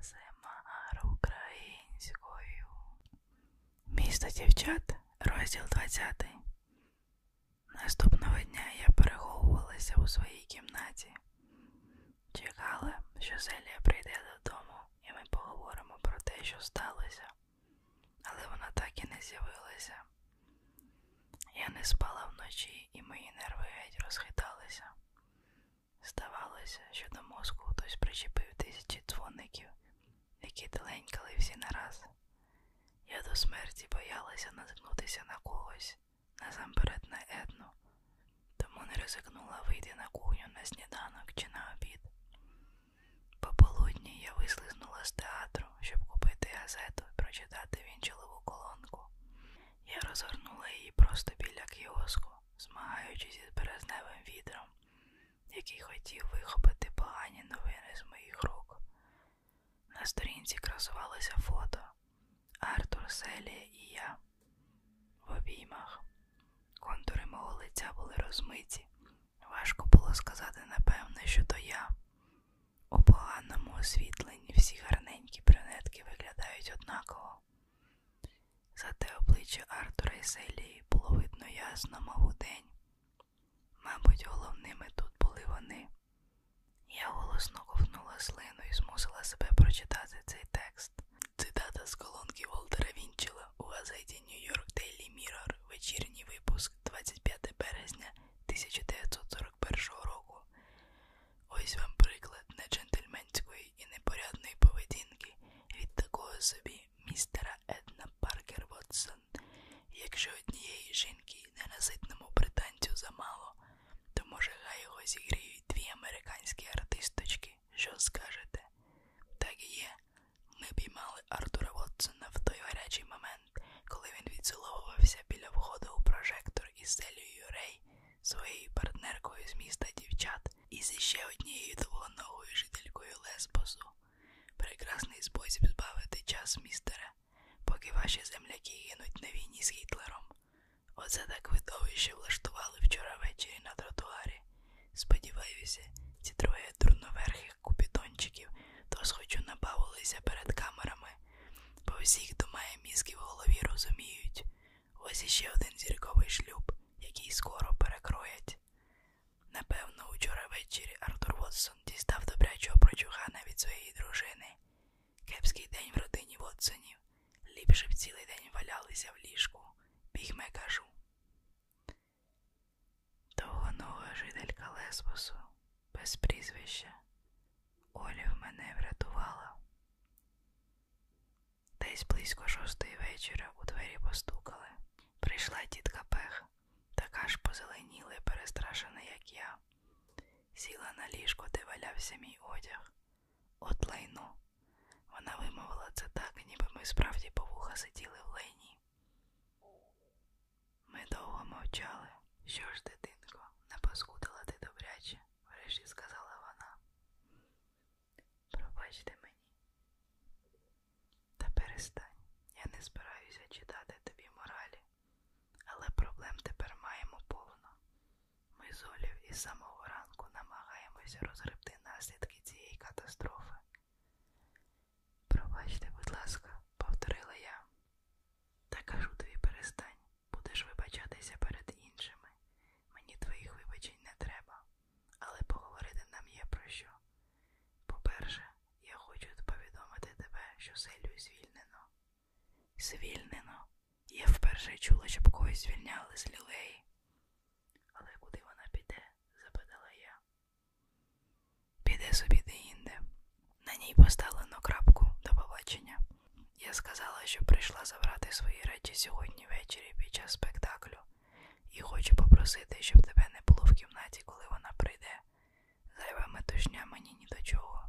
АСМР українською. Місто дівчат, розділ 20. Наступного дня я переховувалася у своїй кімнаті. Чекала, що Зелія прийде додому, і ми поговоримо про те, що сталося, але вона так і не з'явилася. Я не спала вночі, і мої нерви геть розхиталися. Здавалося, що до мозку хтось причепив тисячі дзвоників, які теленькали всі нараз. Я до смерті боялася наткнутися на когось, насамперед на Едну, тому не ризикнула вийти на кухню на сніданок чи на обід. Пополудні я вислизнула з театру, щоб купити газету і прочитати вінчилову колонку. Я розгорнула її просто біля кіоску, змагаючись із березневим вітром, який хотів вихопити погані новини з моїх рук. На сторінці красувалося фото Артур Селія і я в обіймах. Контури мого лиця були розмиті. Важко було сказати, напевне, що то я. У поганому освітленні всі гарненькі брюнетки виглядають однаково нього. Зате обличчя Артура і Селії було видно ясно, мов у день. Мабуть, головними тут були вони. Я голосно ковнула слину і змусила себе прочитати цей текст. Цитата з колонки Волтера Вінчела у газеті Нью-Йорк Daily Mirror, вечірній випуск 25 березня 1941 року. Ось вам приклад неджентльменської і непорядної поведінки від такого собі містера Една Паркер Вотсон. Якщо однієї жінки ненаситному британцю замало, то може хай його зігріють дві американські артисточки. Що скажете? Так і є. Ми піймали Артура Вотсона в той гарячий момент, коли він відціловувався біля входу у прожектор із Селією Рей своєю партнеркою з міста дівчат і з ще однією двоногою жителькою Лесбосу. Прекрасний спосіб збавити час, містере, поки ваші земляки гинуть на війні з Гітлером. Оце так видовище влаштували вчора ввечері на тротуарі. Сподіваюся, ці троє дурноверхих купідончиків то схочу набавилися перед камерами Бо всіх думає мізки в голові розуміють. Ось іще один зірковий шлюб, який скоро перекроять. Напевно, учора ввечері Артур Вотсон дістав добрячого прочухана від своєї дружини. Кепський день в родині Вотсонів. Ліпше б цілий день валялися в ліжку. Бігме кажу. Довгонога жителька Лесбосу, без прізвища, Олів мене врятувала. Десь близько шостої вечора у двері постукали. Прийшла тітка Пех, така ж позеленіла і перестрашена, як я. Сіла на ліжко, де валявся мій одяг. От лайно. Вона вимовила це так, ніби ми справді по вуха сиділи в лайні. Ми довго мовчали. Що ж, дитинко, напаскудила ти добряче врешті сказала вона. Пробачте мені. Та перестань, я не збираюся читати тобі моралі, але проблем тепер маємо повно. Ми з Олів із самого ранку намагаємося розгребти наслідки цієї катастрофи. Пробачте, будь ласка, повторила я, та кажу тобі перестань. Будеш вибачатися перед іншими. Мені твоїх вибачень не треба, але поговорити нам є про що. По-перше, я хочу повідомити тебе, що Селю звільнено. Звільнено. Я вперше чула, щоб когось звільняли з лілеї. Але куди вона піде? запитала я. Піде собі де інде, на ній поставлено крапку до побачення. Я сказала, що прийшла забрати свої речі сьогодні ввечері під час спектаклю, і хочу попросити, щоб тебе не було в кімнаті, коли вона прийде. Зайва метушня мені ні до чого.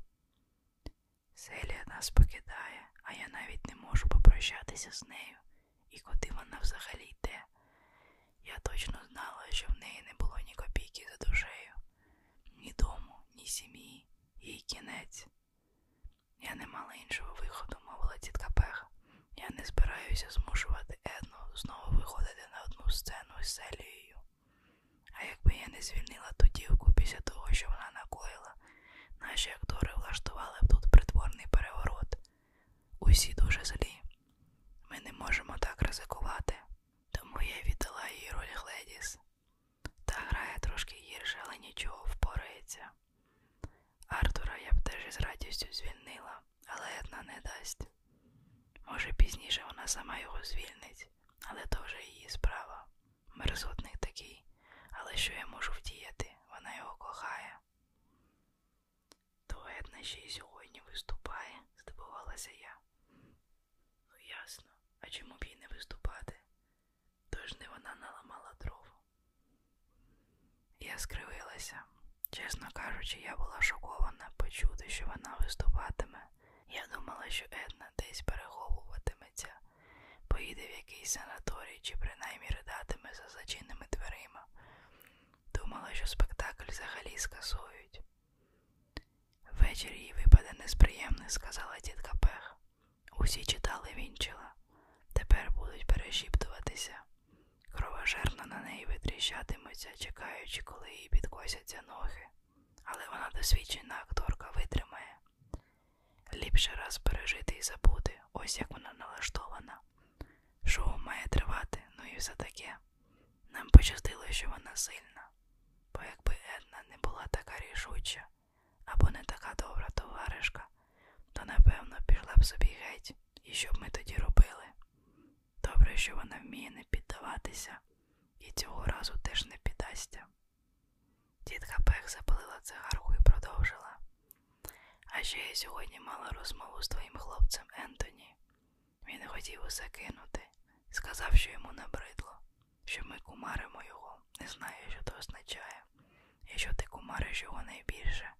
Селія нас покидає, а я навіть не можу попрощатися з нею, і куди вона взагалі йде. Я точно знала, що в неї не було ні копійки за душею ні дому, ні сім'ї, їй кінець. Я не мала іншого виходу, мовила тітка Пех. Я не збираюся змушувати Едну знову виходити на одну сцену з Селією. А якби я не звільнила ту дівку після того, що вона накоїла, наші актори влаштували б тут притворний переворот. Усі дуже злі. Ми не можемо так ризикувати, тому я віддала їй роль Гледіс. Та грає трошки гірше, але нічого впорається. Артура я б теж із радістю звільнила, але Една не дасть. Може, пізніше вона сама його звільнить, але то вже її справа. Мерзотник такий, але що я можу вдіяти? Вона його кохає. То Една ще й сьогодні виступає, здивувалася я. Ну, ясно, а чому б їй не виступати? Тож не вона наламала дров. Я скривилася. Чесно кажучи, я була шокована почути, що вона виступатиме. Я думала, що Една десь переховуватиметься, поїде в якийсь санаторій чи принаймні ридатиме за зачинними дверима. Думала, що спектакль взагалі скасують. Ввечері їй випаде несприємний, сказала тітка Пех. Усі читали вінчила. Тепер будуть перешіптуватися. Кровожерно на неї витріщатимуться, чекаючи, коли їй підкосяться ноги. Але вона досвідчена акторка витримає. Ліпше раз пережити і забути, ось як вона налаштована. Шоу має тривати, ну і все таке. Нам пощастило, що вона сильна, бо якби Една не була така рішуча або не така добра товаришка, то напевно пішла б собі геть, і що б ми тоді робили. Добре, що вона вміє не піддаватися, і цього разу теж не піддасться. Тітка Пех запалила цигарку і продовжила. А ще я сьогодні мала розмову з твоїм хлопцем Ентоні. Він хотів усе кинути, сказав, що йому набридло, що ми кумаримо його, не знаю, що то означає, і що ти кумариш його найбільше.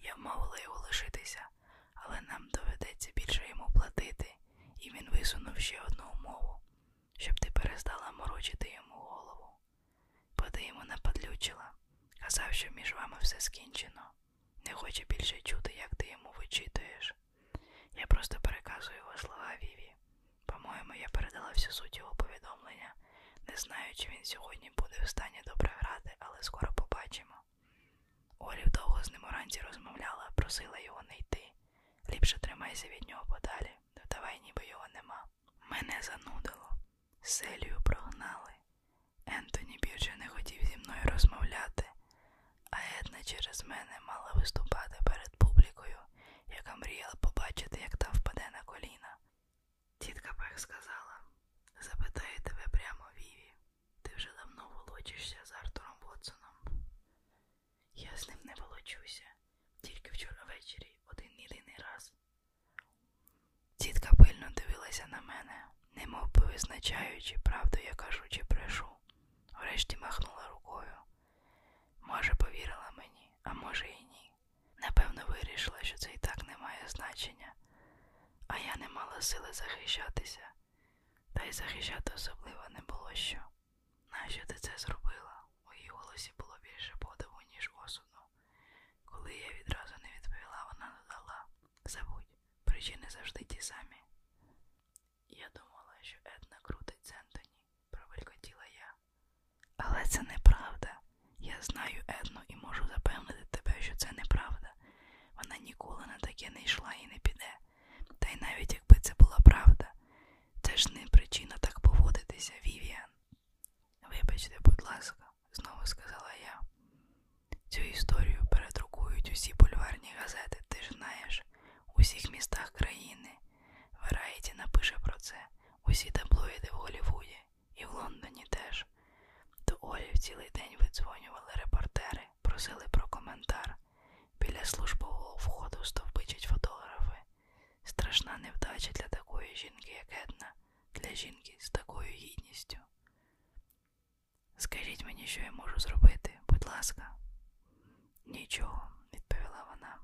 Я вмовила його лишитися, але нам доведеться більше йому платити, і він висунув ще одну умову, щоб ти перестала морочити йому голову. Поди йому нападлючила, казав, що між вами все скінчено. Не хоче більше чути, як ти йому вичитуєш. Я просто переказую його слова Віві. По-моєму, я передала всю суть його повідомлення. Не знаю, чи він сьогодні буде в стані добре грати, але скоро побачимо. Олів довго з ним уранці розмовляла, просила його не йти. Ліпше тримайся від нього подалі, давай ніби його нема. Мене занудило. Селію прогнали. Ентоні більше не хотів зі мною розмовляти а Една через мене мала виступати перед публікою, яка мріяла побачити, як та впаде на коліна. Тітка Пех сказала запитаю тебе прямо, Віві, ти вже давно волочишся з Артуром Вотсоном. Я з ним не волочуся, тільки вчора ввечері один єдиний раз. Тітка пильно дивилася на мене, немов би визначаючи правду, я кажу, чи брешу врешті махнула рукою. Може, повірила мені, а може і ні. Напевно, вирішила, що це і так не має значення, а я не мала сили захищатися, та й захищати особливо не було що. Нащо ти це зробила? У її голосі було більше подиву, ніж осуду. Коли я відразу не відповіла, вона додала забудь, причини завжди ті самі. Я думала, що Една крутить Ентоні, пробелькотіла я. Але це неправда. Я знаю Едну і можу запевнити тебе, що це неправда. Вона ніколи на таке не йшла і не піде. Та й навіть якби це була правда, це ж не причина так поводитися, Вівіан. Вибачте, будь ласка, знову сказала я. Цю історію передрукують усі бульварні газети, ти ж знаєш, у всіх містах країни. Верайті напише про це, усі таблоїди в Голлівуді і в Лондоні теж. До Олів цілий день видзвонювали репортери, просили про коментар. Біля службового входу стовбичать фотографи. Страшна невдача для такої жінки, як Една, для жінки з такою гідністю. Скажіть мені, що я можу зробити, будь ласка. Нічого, відповіла вона,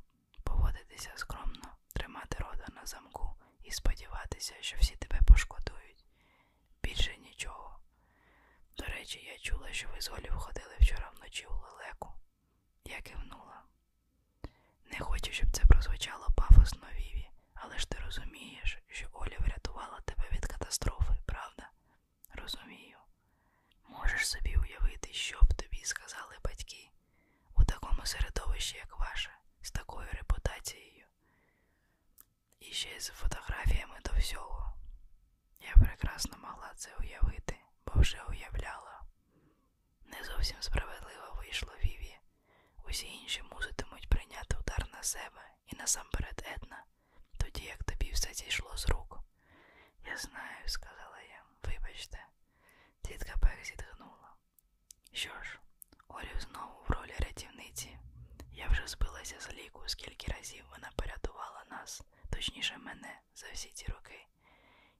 поводитися скромно, тримати рода на замку і сподіватися, що всі тебе пошкодують. Більше нічого. До речі, я чула, що ви з Олів ходили вчора вночі у лелеку. Я кивнула. Не хочу, щоб це прозвучало пафосно Віві, але ж ти розумієш, що Оля врятувала тебе від катастрофи, правда? Розумію. Можеш собі уявити, що б тобі сказали батьки у такому середовищі, як ваше, з такою репутацією. І ще з фотографіями до всього. Я прекрасно могла це уявити, бо вже уявляла. Не зовсім справедливо вийшло Віві. Усі інші муситимуть прийняти удар на себе і насамперед Една, тоді як тобі все зійшло з рук. Я знаю, сказала я, вибачте, тітка Пек зітхнула. Що ж, Орів знову в ролі рятівниці. Я вже збилася з ліку, скільки разів вона порятувала нас, точніше мене, за всі ці роки.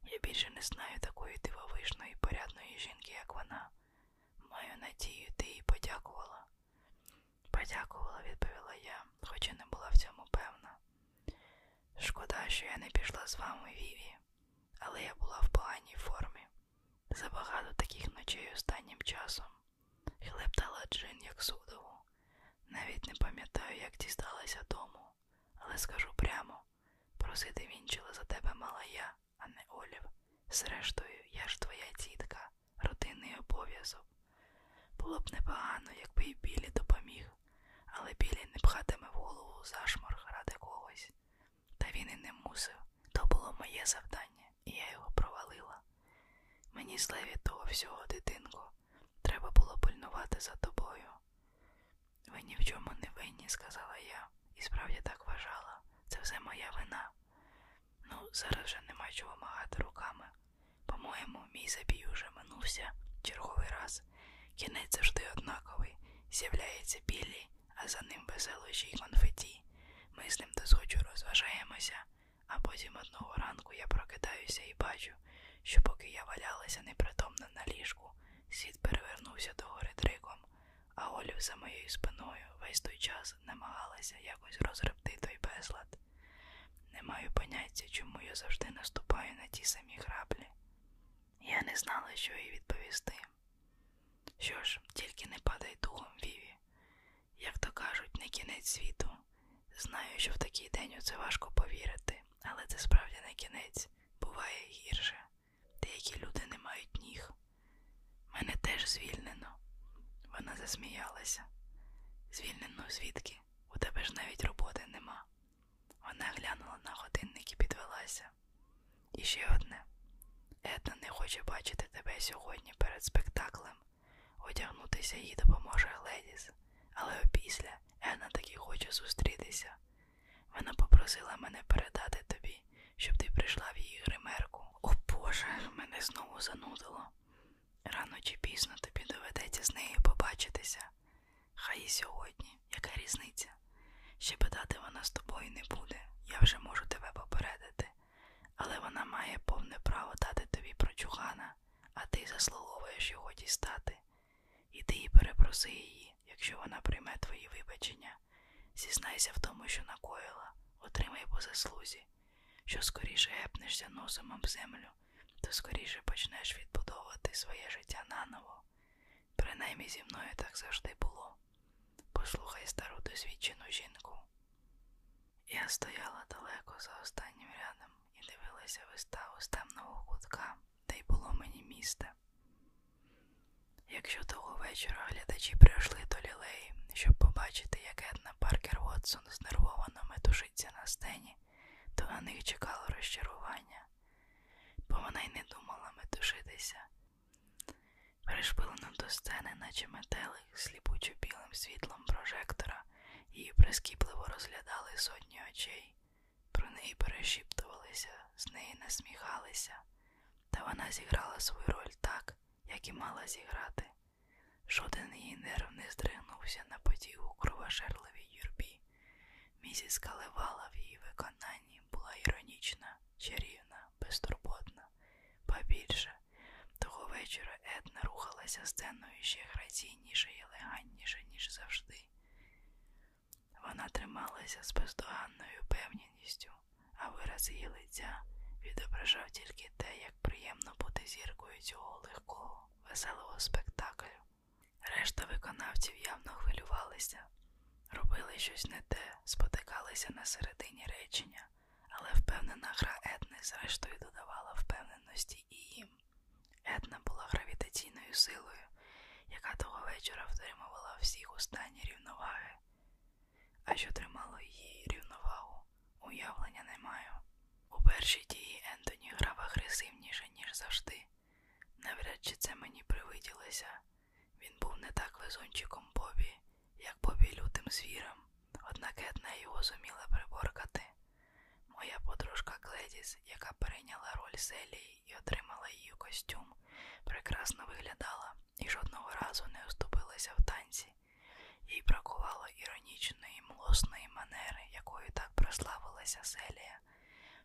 Я більше не знаю такої дивовижної порядної жінки, як вона. Маю надію, ти їй подякувала. Подякувала, відповіла я, хоч і не була в цьому певна. Шкода, що я не пішла з вами, Віві, але я була в поганій формі. Забагато таких ночей останнім часом. Хлептала джин, як судову. Навіть не пам'ятаю, як дісталася дому, але скажу прямо просити вінчила за тебе мала я, а не Олів. Зрештою, я ж твоя тітка, родинний обов'язок. Було б непогано, якби і Білі допоміг, але Білі не пхатиме в голову зашморг ради когось. Та він і не мусив. То було моє завдання, і я його провалила. Мені зле від того всього, дитинко, треба було пильнувати за тобою. Ви ні в чому не винні, сказала я, і справді так вважала. Це все моя вина. Ну, зараз вже нема чого магати руками. По-моєму, мій забій уже минувся черговий раз. Кінець завжди однаковий. З'являється білі, а за ним веселощі й конфеті. Ми з ним дозгоджу розважаємося, а потім одного ранку я прокидаюся і бачу, що поки я валялася непритомна на ліжку, світ перевернувся догори дриком а Олю за моєю спиною весь той час намагалася якось розребти той безлад. Не маю поняття, чому я завжди наступаю на ті самі граблі. Я не знала, що їй відповісти. Що ж, тільки не падай духом, Віві. Як то кажуть, не кінець світу. Знаю, що в такий день у це важко повірити, але це справді не кінець, буває гірше. Деякі люди не мають ніг. Мене теж звільнено. Вона засміялася. Звільнено звідки? У тебе ж навіть роботи нема. Вона глянула на годинник і підвелася. І ще одне. Етна не хоче бачити тебе сьогодні перед спектаклем. Одягнутися їй допоможе Гледіс, але опісля Етна таки хоче зустрітися. Вона попросила мене передати тобі, щоб ти прийшла в її гримерку. О Боже, мене знову занудило. Рано чи пізно тобі доведеться з нею побачитися. Хай і сьогодні, яка різниця? Ще питати вона з тобою не буде, я вже можу тебе попередити, але вона має повне право дати тобі прочухана, а ти заслуговуєш його дістати. Іди і перепроси її, якщо вона прийме твої вибачення. Зізнайся в тому, що накоїла, отримай по заслузі. Що скоріше гепнешся носом об землю, то скоріше почнеш відбудовувати своє життя наново. Принаймні зі мною так завжди було. Послухай стару досвідчену жінку. Я стояла далеко за останнім рядом і дивилася виставу з темного кутка, де й було мені місце. Якщо того вечора глядачі прийшли до лілеї, щоб побачити, як Една Паркер Вотсон знервовано метушиться на сцені, то на них чекало розчарування, бо вона й не думала метушитися. Пришпилено до сцени, наче метелик, сліпучо білим світлом прожектора, її прискіпливо розглядали сотні очей, про неї перешіптувалися, з неї насміхалися та вона зіграла свою роль так, як і мала зіграти. Жоден її нерв не здригнувся на подію у кровожерливій юрбі. Місіс Калевала в її виконанні була іронічна, чарівна, безтурботна. Ба більше, того вечора Една рухалася сценою ще граційніше і елегантніше, ніж завжди. Вона трималася з бездоганною певністю, а вираз її лиця відображав тільки те, як приємно бути зіркою цього легкого, веселого спектаклю. Решта виконавців явно хвилювалися, робили щось не те, спотикалися на середині речення, але впевнена гра Етни зрештою додавала впевненості і їм. Етна була гравітаційною силою, яка того вечора втримувала всіх у стані рівноваги. А що тримало її рівновагу, уявлення не маю. У першій дії Ентоні грав агресивніше, ніж завжди. Навряд чи це мені привиділося. Він був не так везунчиком Бобі, як Бобі лютим звіром, однак Една його зуміла приборкати. Моя подружка Кледіс, яка перейняла роль Селії і отримала її костюм, прекрасно виглядала і жодного разу не уступилася в танці. Їй бракувало іронічної, млосної манери, якою так прославилася Селія,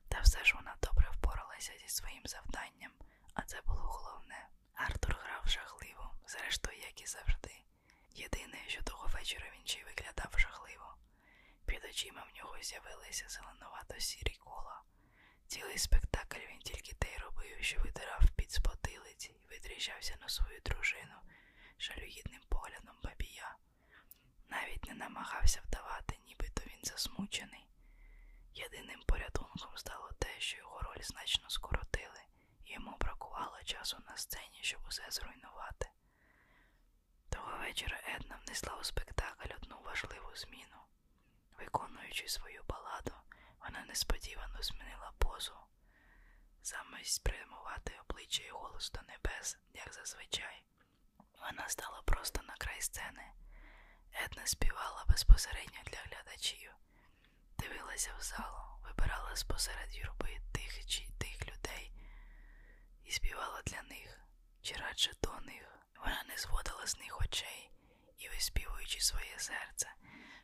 та все ж вона добре впоралася зі своїм завданням, а це було головне. Артур грав жахливо, зрештою, як і завжди. Єдине, що того вечора він ще й виглядав жахливо. Під очима в нього з'явилися зеленувато сірі кола. Цілий спектакль він тільки те й робив, що витирав під спотилиці і витріщався на свою дружину жалюгідним поглядом бабія. Навіть не намагався вдавати, нібито він засмучений. Єдиним порятунком стало те, що його роль значно скоротили, і йому бракувало часу на сцені, щоб усе зруйнувати. Того вечора Една внесла у спектакль одну важливу зміну. Виконуючи свою баладу, вона несподівано змінила позу. Замість прямувати обличчя і голос до небес, як зазвичай. Вона стала просто на край сцени. Етна співала безпосередньо для глядачів, дивилася в залу, вибирала спосеред юрби тих чи тих людей і співала для них, чи радше до них. Вона не зводила з них очей і, виспівуючи своє серце,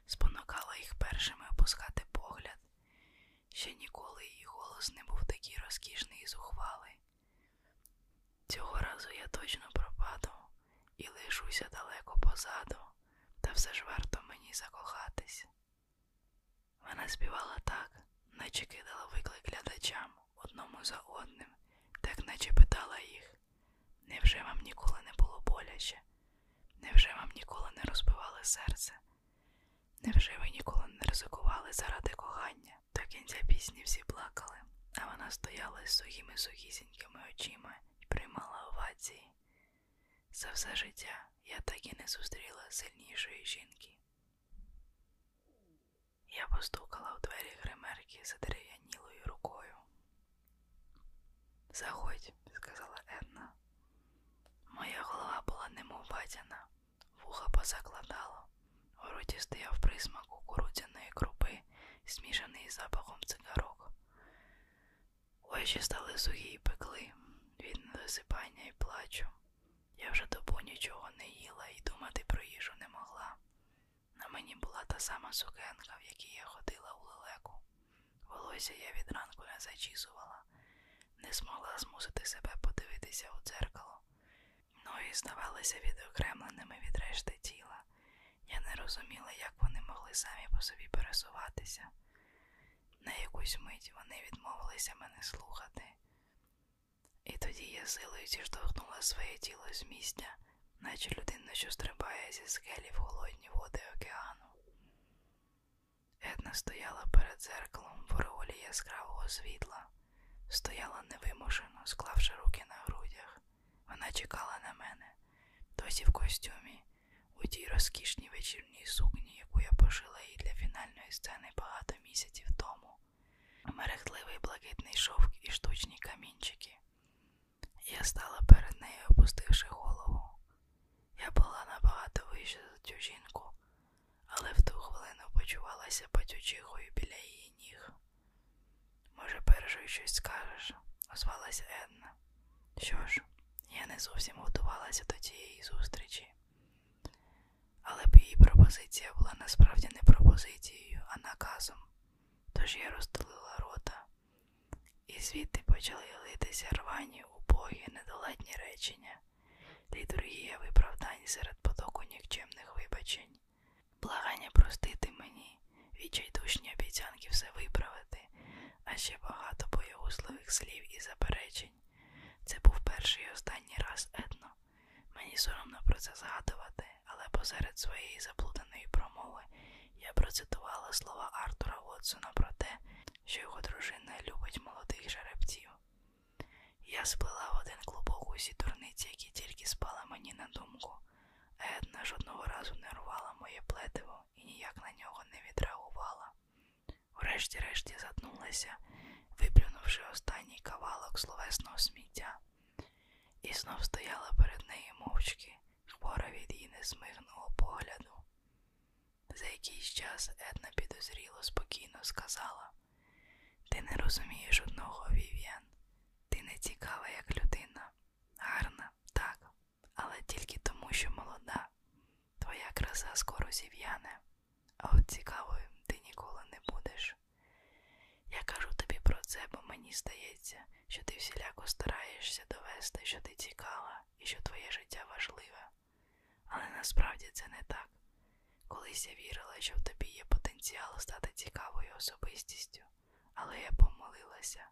спонукала їх першими опускати погляд. Ще ніколи її голос не був такий розкішний і зухвалий. Цього разу я точно пропаду і лишуся далеко позаду, та все ж варто мені закохатись. Вона співала так, наче кидала виклик глядачам одному за одним, так наче питала їх. Невже вам ніколи не було боляче? Невже вам ніколи не розбивали серце? Невже ви ніколи не ризикували заради кохання? До кінця пісні всі плакали, а вона стояла з сухими сухісінькими очима і приймала овації. За все життя я так і не зустріла сильнішої жінки. Я постукала в двері гримерки за дерев'янілою рукою. Заходь, сказала Енна. Моя голова була немов батяна, вуха позакладало, у роті стояв присмак кукурудзяної крупи, змішаний з запахом цигарок. Очі стали сухі і пекли від недосипання і плачу. Я вже добу нічого не їла і думати про їжу не могла. На мені була та сама сукенка, в якій я ходила у лелеку. Волосся я від ранку не зачісувала, не змогла змусити себе подивитися у дзеркало. Ноги здавалися відокремленими від решти тіла. Я не розуміла, як вони могли самі по собі пересуватися. На якусь мить вони відмовилися мене слухати. І тоді я силою зіштовхнула своє тіло з місця, наче людина, що стрибає зі скелі в холодні води океану. Една стояла перед зеркалом в ореолі яскравого світла, стояла невимушено, склавши руки на грудях. Вона чекала на мене, досі в костюмі, у тій розкішній вечірній сукні, яку я пошила їй для фінальної сцени багато місяців тому мерехтливий блакитний шовк і штучні камінчики. Я стала перед нею, опустивши голову. Я була набагато вища за цю жінку, але в ту хвилину почувалася патючихою біля її ніг. Може, першою щось скажеш, озвалася Една. Що ж, я не зовсім готувалася до цієї зустрічі але б її пропозиція була насправді не пропозицією, а наказом. Тож я роздалила рота, і звідти почали литися рвані, убогі, недолетні речення, літургія виправдань серед потоку нікчемних вибачень, благання простити мені, відчайдушні обіцянки все виправити, а ще багато боєгусливих слів і заперечень. Це був перший і останній раз Етно Мені соромно про це згадувати, але посеред своєї заплутаної промови я процитувала слова Артура Вотсона про те, що його дружина любить молодих жеребців. Я сплила в один клубок усі дурниці, які тільки спали мені на думку. Една жодного разу не рвала моє плетиво і ніяк на нього не відреагувала. Врешті-решті заднулася виплюнувши останній кавалок словесного сміття, і знов стояла перед нею мовчки, хвора від її незмигного погляду. За якийсь час Една підозріло, спокійно сказала Ти не розумієш одного, Вів'ян. Ти не цікава, як людина. Гарна, так, але тільки тому, що молода. Твоя краса скоро зів'яне, а от цікавою ти ніколи не будеш. Я кажу тобі про це, бо мені здається, що ти всіляко стараєшся довести, що ти цікава і що твоє життя важливе. Але насправді це не так. Колись я вірила, що в тобі є потенціал стати цікавою особистістю, але я помилилася.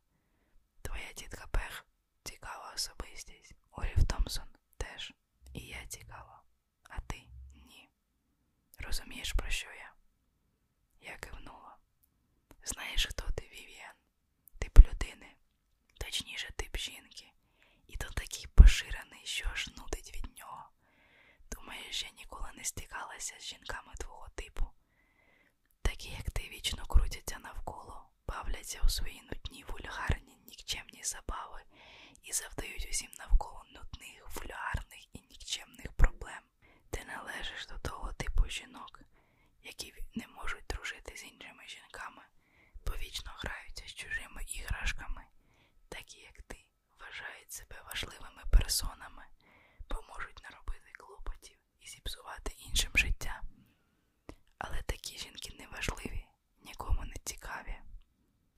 Твоя тітка Пех цікава особистість, Олів Томпсон теж, і я цікава а ти ні. Розумієш, про що я? Я кивнула. Знаєш, хто ти, Вів'ян? Тип людини, точніше, тип жінки, і то такий поширений, що аж нудить від нього. Думаєш, я ніколи не стикалася з жінками твого типу. Такі, як ти вічно крутяться навколо, бавляться у свої нудні вульгарні нікчемні забави і завдають усім навколо нудних, фулярних і нікчемних проблем. Ти належиш до того типу жінок, які не можуть дружити з іншими жінками, повічно граються з чужими іграшками, такі як ти, вважають себе важливими персонами, бо можуть наробити клопотів і зіпсувати іншим життя. Але такі жінки неважливі нікому не цікаві.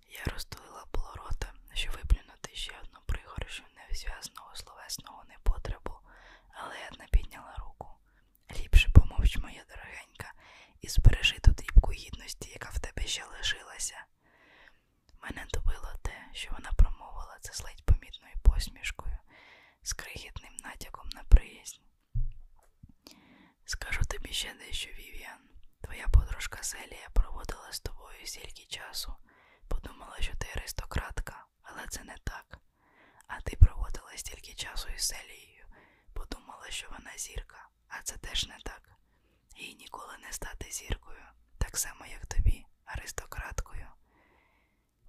Я розтулила полорота, щоб виплюнути ще одну пригоршу невзв'язного словесного непотребу, але Една підняла руку. Ліпше помовч, моя дорогенька, і збережи ту дрібку гідності, яка в тебе ще лишилася. Мене добило те, що вона промовила це з ледь помітною посмішкою, з крихітним натяком на приязнь. Скажу тобі ще дещо, Вівіан. Твоя подружка Селія проводила з тобою стільки часу. Подумала, що ти аристократка, але це не так. А ти проводила стільки часу із Селією, подумала, що вона зірка, а це теж не так. Їй ніколи не стати зіркою, так само, як тобі, аристократкою.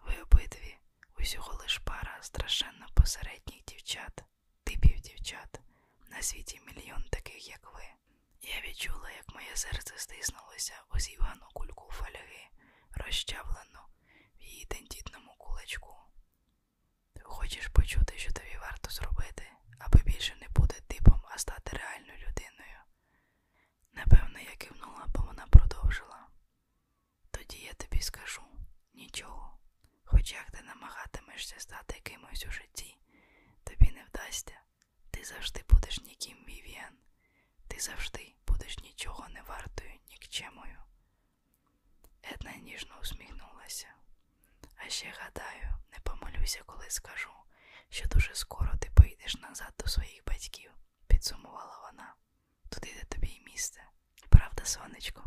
Ви обидві усього лиш пара страшенно посередніх дівчат, типів дівчат. На світі мільйон таких, як ви. Я відчула, як моє серце стиснулося у зівану кульку фольги, розчавлену в її тендітному кулачку. Хочеш почути, що тобі варто зробити, аби більше не бути типом, а стати реальною людиною. Напевно, я кивнула, бо вона продовжила. Тоді я тобі скажу нічого. Хоч як ти намагатимешся стати кимось у житті, тобі не вдасться, ти завжди будеш ніким Вівіан. Ти завжди будеш нічого не вартою, нікчемою. Една ніжно усміхнулася. А ще гадаю, не помилюся, коли скажу, що дуже скоро ти поїдеш назад до своїх батьків, підсумувала вона. Туди де тобі й місце. Правда, сонечко?